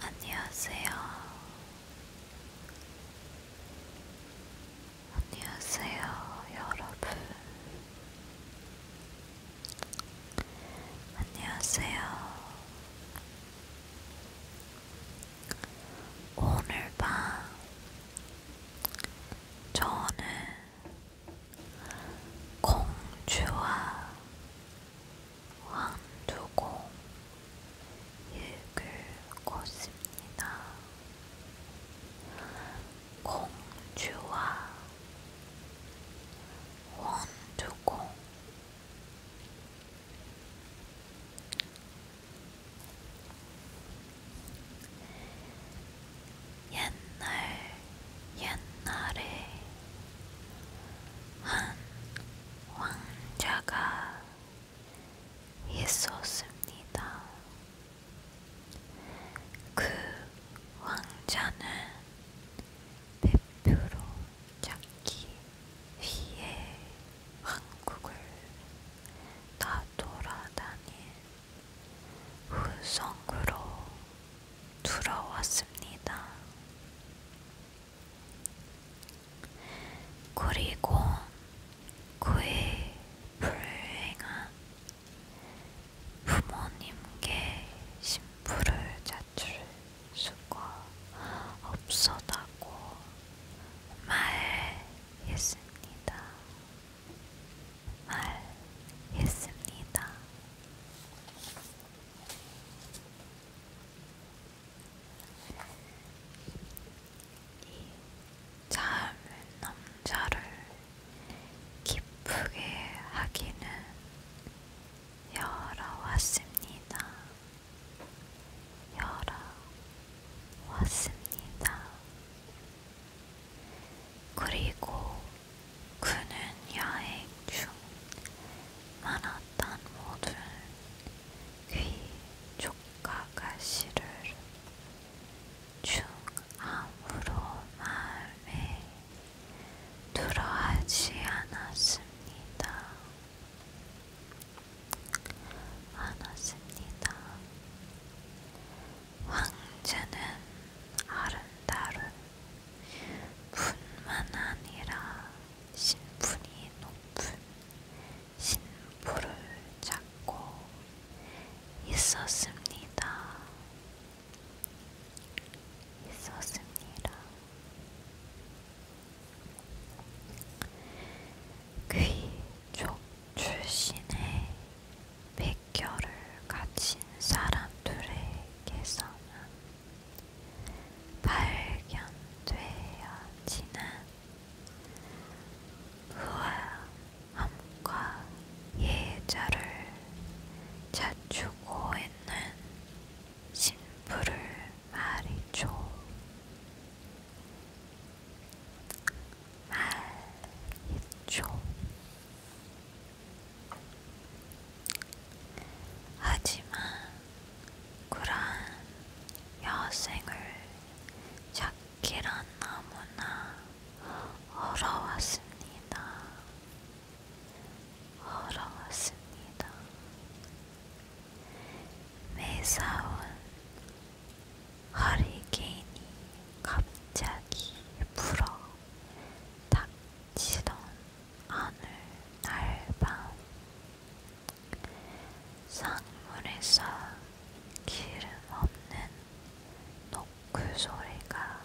안녕하세요. 안녕하세요, 여러분. 안녕하세요. 오늘 밤 저는 공주와 왕두공 읽을 것입니다. 공주와 왕두공 옛날 옛날에 한 왕자가 있었습니다. 그 왕자는 대표로 찾기 위해 한국을 다 돌아다닌 후성으로 들어왔습니다. 그리고 그의 불행한 부모님께 신부를 자출 수가 없었다고 말했습니다. 말했습니다. 이 젊은 남자를 기쁘게 하기는 열어왔습니다. 열어왔습니다. 그리고 그는 야액 중 많았던 모든 귀 촉각가시를 중암으로 마음에 들어하지 않았습니다. 않았습니다. 황제는 아름다운 뿐만 아니라 신분이 높은 신부를 찾고 있었습니다. 있었습니다. 귀족 출신의 백혈을 가진 사람들에게서는 발견되어지는 우아함과 예절을 자주고 있는 신부를 말이죠. 말이죠. 하지만 그러한 여생을 찾기란 너무나 어려웠습니다. 어려웠습니다. 매사운 허리케인이 갑자기 불어 닥치던 어느 날밤 상물에서 기름 없는 노크 소리가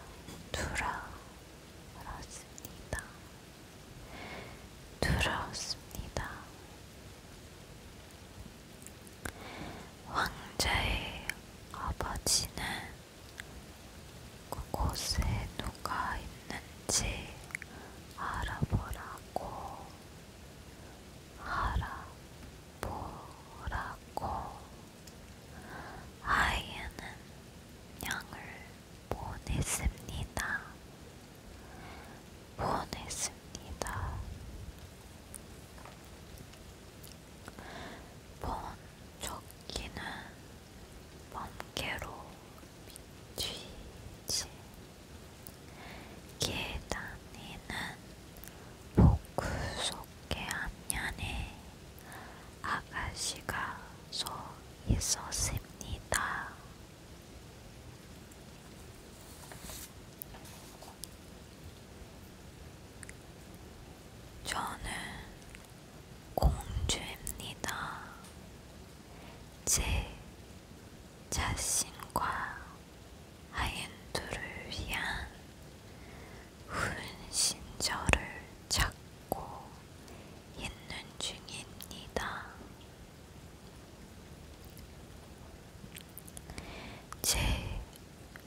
들어왔습니다. 들어왔습니다. 왕자의 아버지는 그곳에 누가 있는지 알아보라고, 알아보라고. 아이에는 양을 보냈습니다. 보냈습니다. 본조끼는 번개로 미치지 계단이는 복구 속의 안면에 아가씨가 서 있었습니다. 저는 공주입니다. 제 자신과 하인두를 위한 훈신처를 찾고 있는 중입니다. 제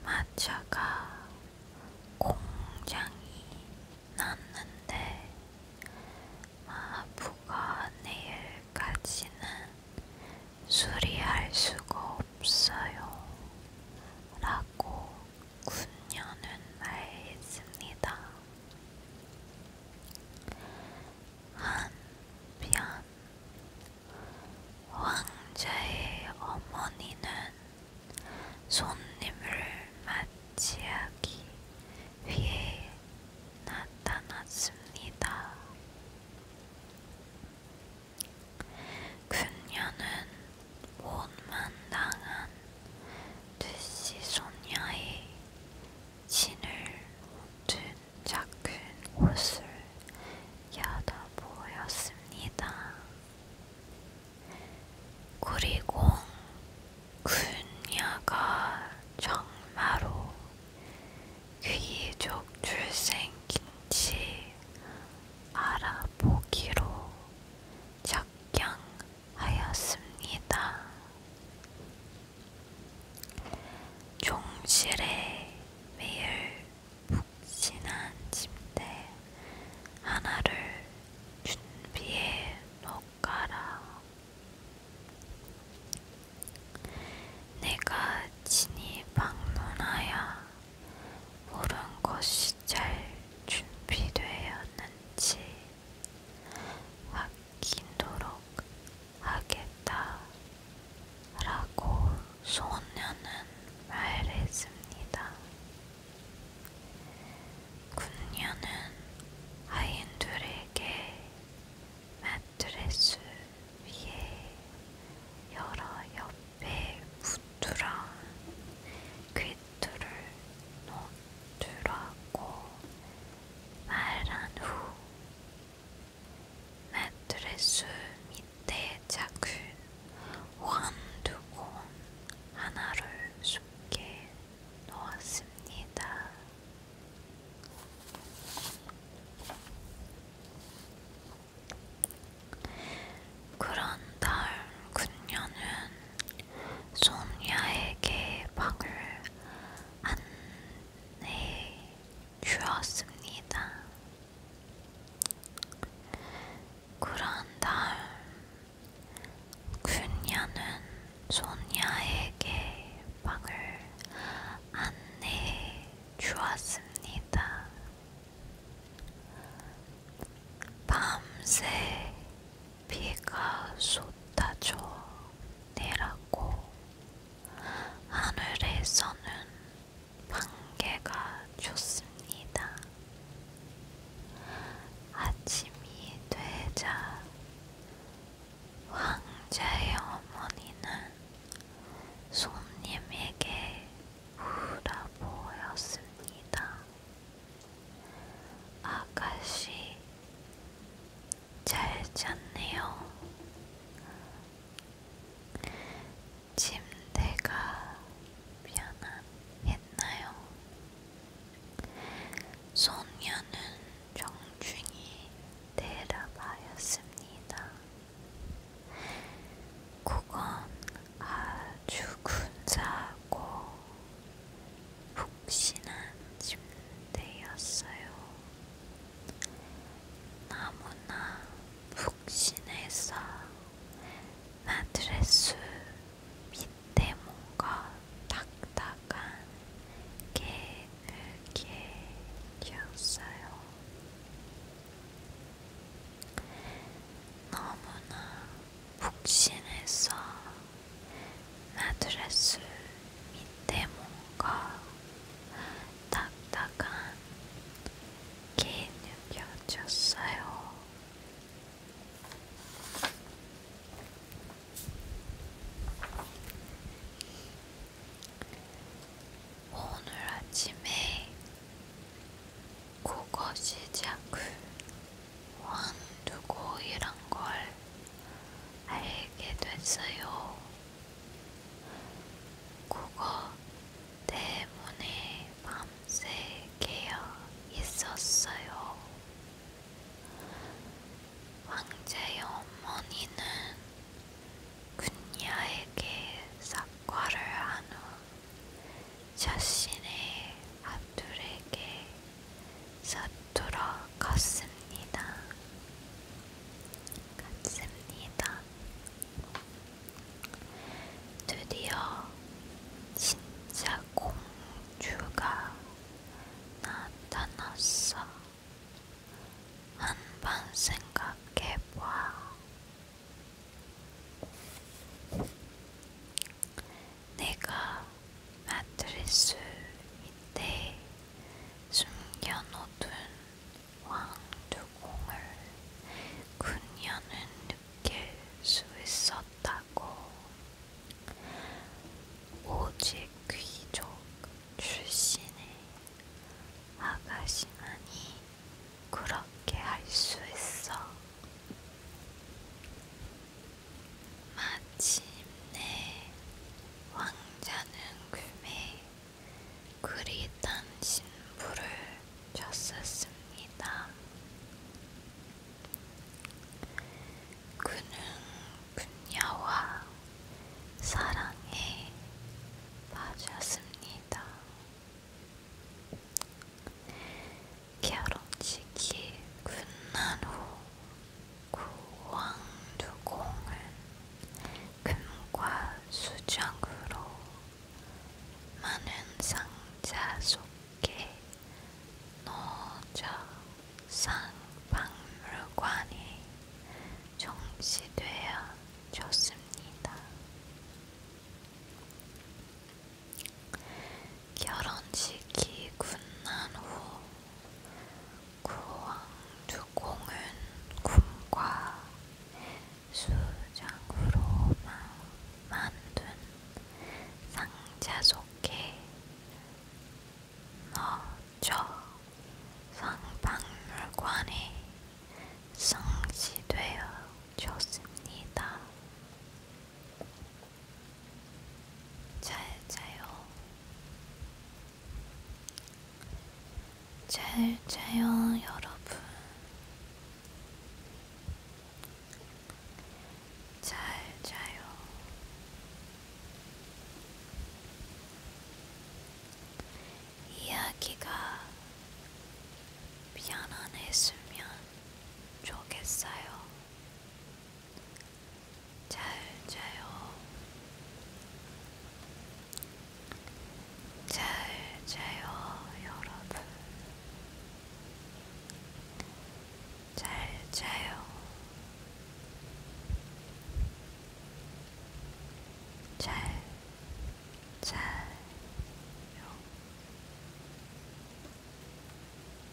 마차가 공장이 났는데 마부가 내일까지는 수리할 수가 없어요. 라고 군녀는 말했습니다. 한편 왕자의 어머니는 손님을 맞이하기 위해 나타났습니다. 그녀는 못만 당한 두시 소녀의 진을 모두 작은 옷을 야다 보였습니다. 그리고 그녀가 정말로 귀족 출생인지 알아보기로 작경하였습니다. 종실에 매일 푹신한 침대 하나를 준비해 놓가라. 내가 진히 방문하야 모른 것이 잘 준비되었는지 확 바뀌도록 하겠다라고 소녀는 말했습니다. 군녀는 하인들에게 매트레스 위에 여러 옆에 붙으라 궤도를 놓두라고 말한 후 매트레스 밑에 작은 완두콩 하나를 쉽게 놓았습니다. 그런 날 군녀는 소녀에게 방을 안내해 주었습니다. 그런 다음 군녀는 손녀에게 방을 안내해 주었습니다. 밤새 비가 쏟아져 내렸고 하늘에서는 반개가 좋습니다. 아침이 되자 황제의 어머니는 손님에게 울어 보였습니다. 아가씨, 잘 잤네요. 침대가 편안했나요? 소녀는 정중히 대답하였습니다. 그건 아주 근사하고 푹신한 침대였어요. 너무나 푹신해서 마드레스 밑에 뭔가 딱딱한 게 늘게 되었어요. 너무나 푹신해서 마드레스 밑에 뭔가 딱딱한 게 느껴졌어요. 오늘 아침에 국어 시작을 완두고 이란 걸 알게 됐어요. 그거 때문에 밤새 깨어 있었어요. 왕자의 어머니는 군야에게 사과를 한후 자신의 앞 사람들에게 서툴어 갔습니다. 갔습니다. 드디어 진짜 공주가 나타났어. 한번 생각해봐. 내가 마트리스 밑에 숨겨놓은 왕두공을 그녀는 느낄 수 있었다고. 오직 귀족 출신의 아가씨만이 그렇게 할 수 있어. 마침내 왕자는 금에 그리탄 신부를 졌었습니다. 그는 그녀와 사랑에 빠졌습니다. 결혼식이 끝난 후 구왕두공은 금과 수정으로 많은 상자 속에 넣어져 상박물관이 정시되어 졌습니다. 결혼식이 끝난 후 구왕주공은 군과 수장으로 만든 상자 속에 넣어져 상박물관에 성시되어 졌습니다. 잘 자요. 잘 자요, 여러분. 잘 자요. 이야기가 편안했으면 좋겠어요. 잘 자요. 잘 자요, 여러분. 잘 자요. 잘 자요.